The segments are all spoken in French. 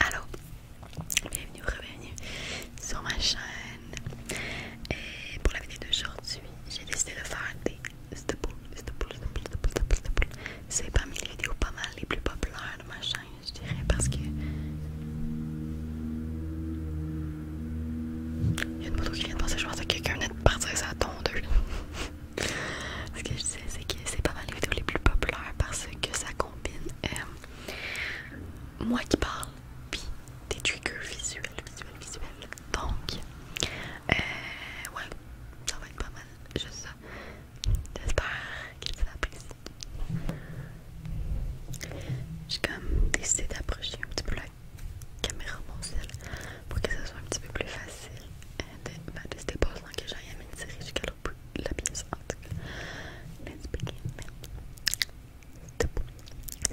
Allô, bienvenue ou bienvenue sur ma chaîne. Et pour la vidéo d'aujourd'hui, j'ai décidé de faire des stables, staples, de C'est parmi les vidéos pas mal les plus populaires de ma chaîne, je dirais, parce que. Il y a une moto qui vient de passer, je pense que quelqu'un vient de partir ça tombe Ce que je sais, c'est que c'est pas mal les vidéos les plus populaires parce que ça combine euh, moi qui parle, puis des triggers visuels, visuels, visuels. Donc, euh, ouais, ça va être pas mal, J'espère que vous l'apprécies. J'ai comme décidé d'approcher un petit peu la caméra mensuelle pour que ça soit un petit peu plus facile de faire des dépassements que j'aille à une série jusqu'à l'autre bout de la pièce en tout cas let's begin step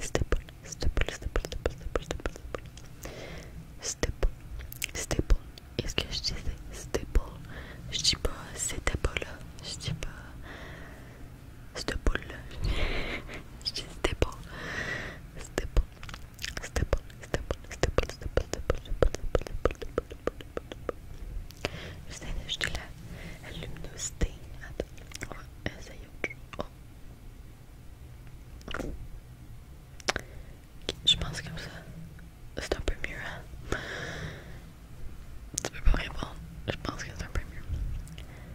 step step step step step step step step est-ce que je disais step je dis pas c'était pas là je dis pas c'était pas là, je dis c'était beau, c'était je pense comme ça. C'est un peu mieux, Tu peux pas répondre. Je pense que c'est un peu mieux.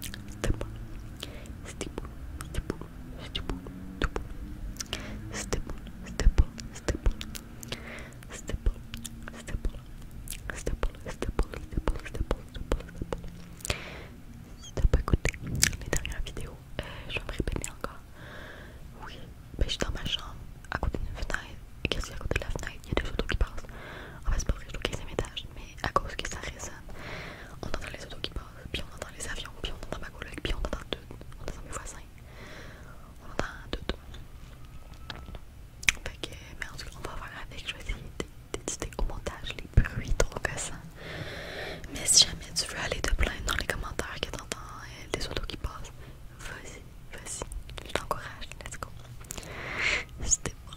Si t'as pas écouté les dernières vidéos, euh, je vais me répéter encore. je suis dans ma chambre, à côté d'une fenêtre. qu'est-ce qu'il y a à côté de la fenêtre Il y a des autos qui passent. c'est étage, mais à cause que ça résonne, on entend les autos qui passent, puis on entend les avions, puis on entend ma collègue, puis on entend tout, on entend mes voisins, on entend tout. Fait que, mais en tout cas, on va voir avec, je vais essayer d'éditer au montage les bruits trop cassants. Mais si jamais tu veux aller te plaindre dans les commentaires que t'entends euh, des autos qui passent, vas-y, vas-y, je t'encourage, let's go. C'était bon.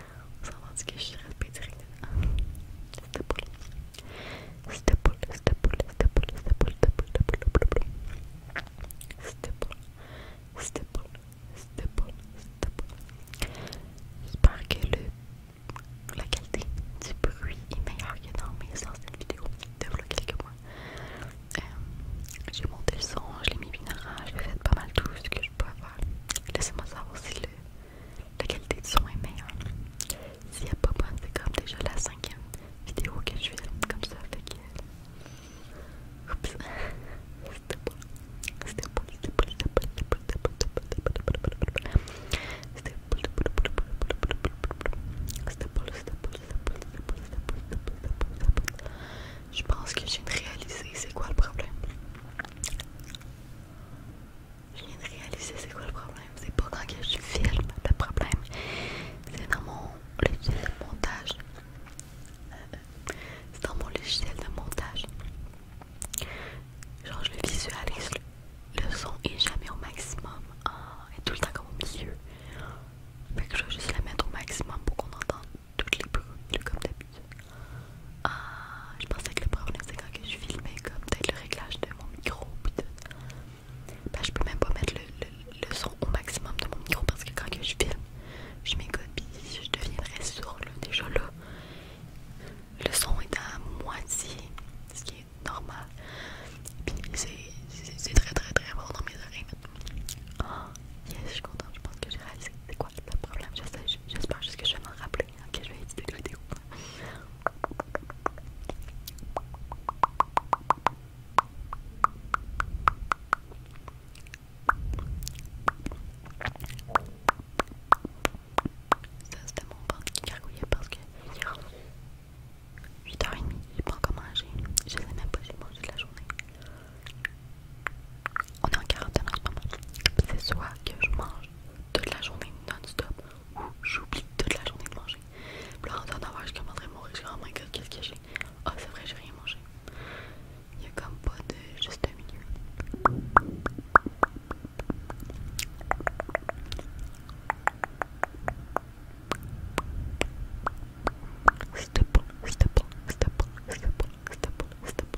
va que je J'espère que la qualité du bruit est meilleure que dans mes de vlog quelques mois. Euh, j'ai monté le son, je l'ai mis bien j'ai fait pas mal tout ce que je pouvais faire. Laissez-moi savoir si le la qualité du son est meilleure. S'il pas c'est comme déjà la cinquième vidéo que je fais comme ça. je pense que j'ai c'est quoi le problème. Je viens de réaliser c'est quoi le problème. C'est pas quand je filme le problème. C'est dans mon logiciel de montage. Euh, c'est dans mon logiciel de montage. Genre je le visualise. Le, son et jamais au maximum. Ah, et tout le temps comme au milieu. Fait que je veux juste le mettre au maximum pour qu'on entende toutes les bruits comme d'habitude. Ah, je pensais que le problème c'est quand je filmais comme peut-être le réglage de mon micro. Je ne bah, je peux même pas mettre le, son au maximum de mon micro parce que quand que je filme, je m'écoute puis je deviens sourd sourde. déjà là. Le son est à moitié, ce qui est normal. Puis c'est très très très bon dans mes oreilles Oh, yes, je suis contente, je pense que j'ai réalisé. C'est quoi le problème? J'espère juste que je vais m'en rappeler. Ok, je vais éditer la vidéo. Ça c'était mon ventre qui gargouillait parce que est 8h30, j'ai pas encore mangé. Je même pas j'ai j'ai mangé de la journée. On est en quarantaine en ce moment. C'est soit que je mange toute la journée non-stop ou j'oublie toute la journée de manger. Puis là, en temps je commanderais à mourir. Je dis, oh my god, qu'est-ce que j'ai? oh, c'est vrai, j'ai rien mangé. Il y a comme pas de juste un milieu. stop, stop, stop, stop, stop, stop, stop, stop.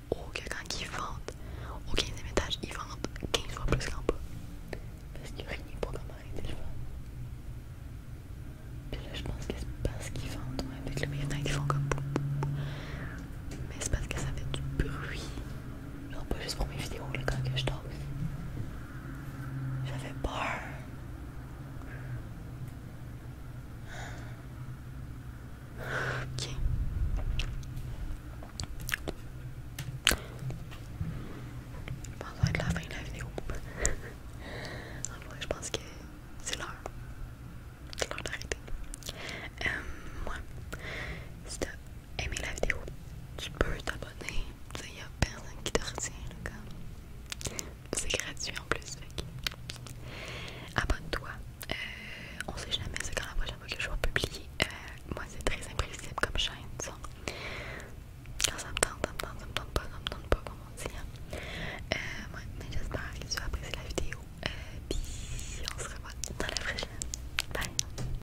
oh quelqu'un qui vente au 15ème étage, il vend 15 fois plus qu'un peu Parce qu'il n'y a rien pour comment arrêter le vent. et là, je pense que c'est parce qu'il vente avec le meilleur temps qu'ils font comme Mais c'est parce que ça fait du bruit. non pas juste pour mes vidéos, le quand que je dors. J'avais peur. Ok. Je pense que ça la fin de la vidéo. en vrai, je pense que c'est l'heure. C'est l'heure d'arrêter. Euh, moi, si t'as aimé la vidéo, tu peux t'abonner. il y a personne qui te retient. C'est gratuit en plus. Abonne-toi. Euh, on sait jamais c'est quand la prochaine que je vais publier. Euh, moi, c'est très imprévisible comme chaîne, ça. me tente, ça me pas, ça me pas, hein. euh, mais j'espère que tu as apprécié la vidéo. Euh, puis, on se revoit dans la prochaine. Bye!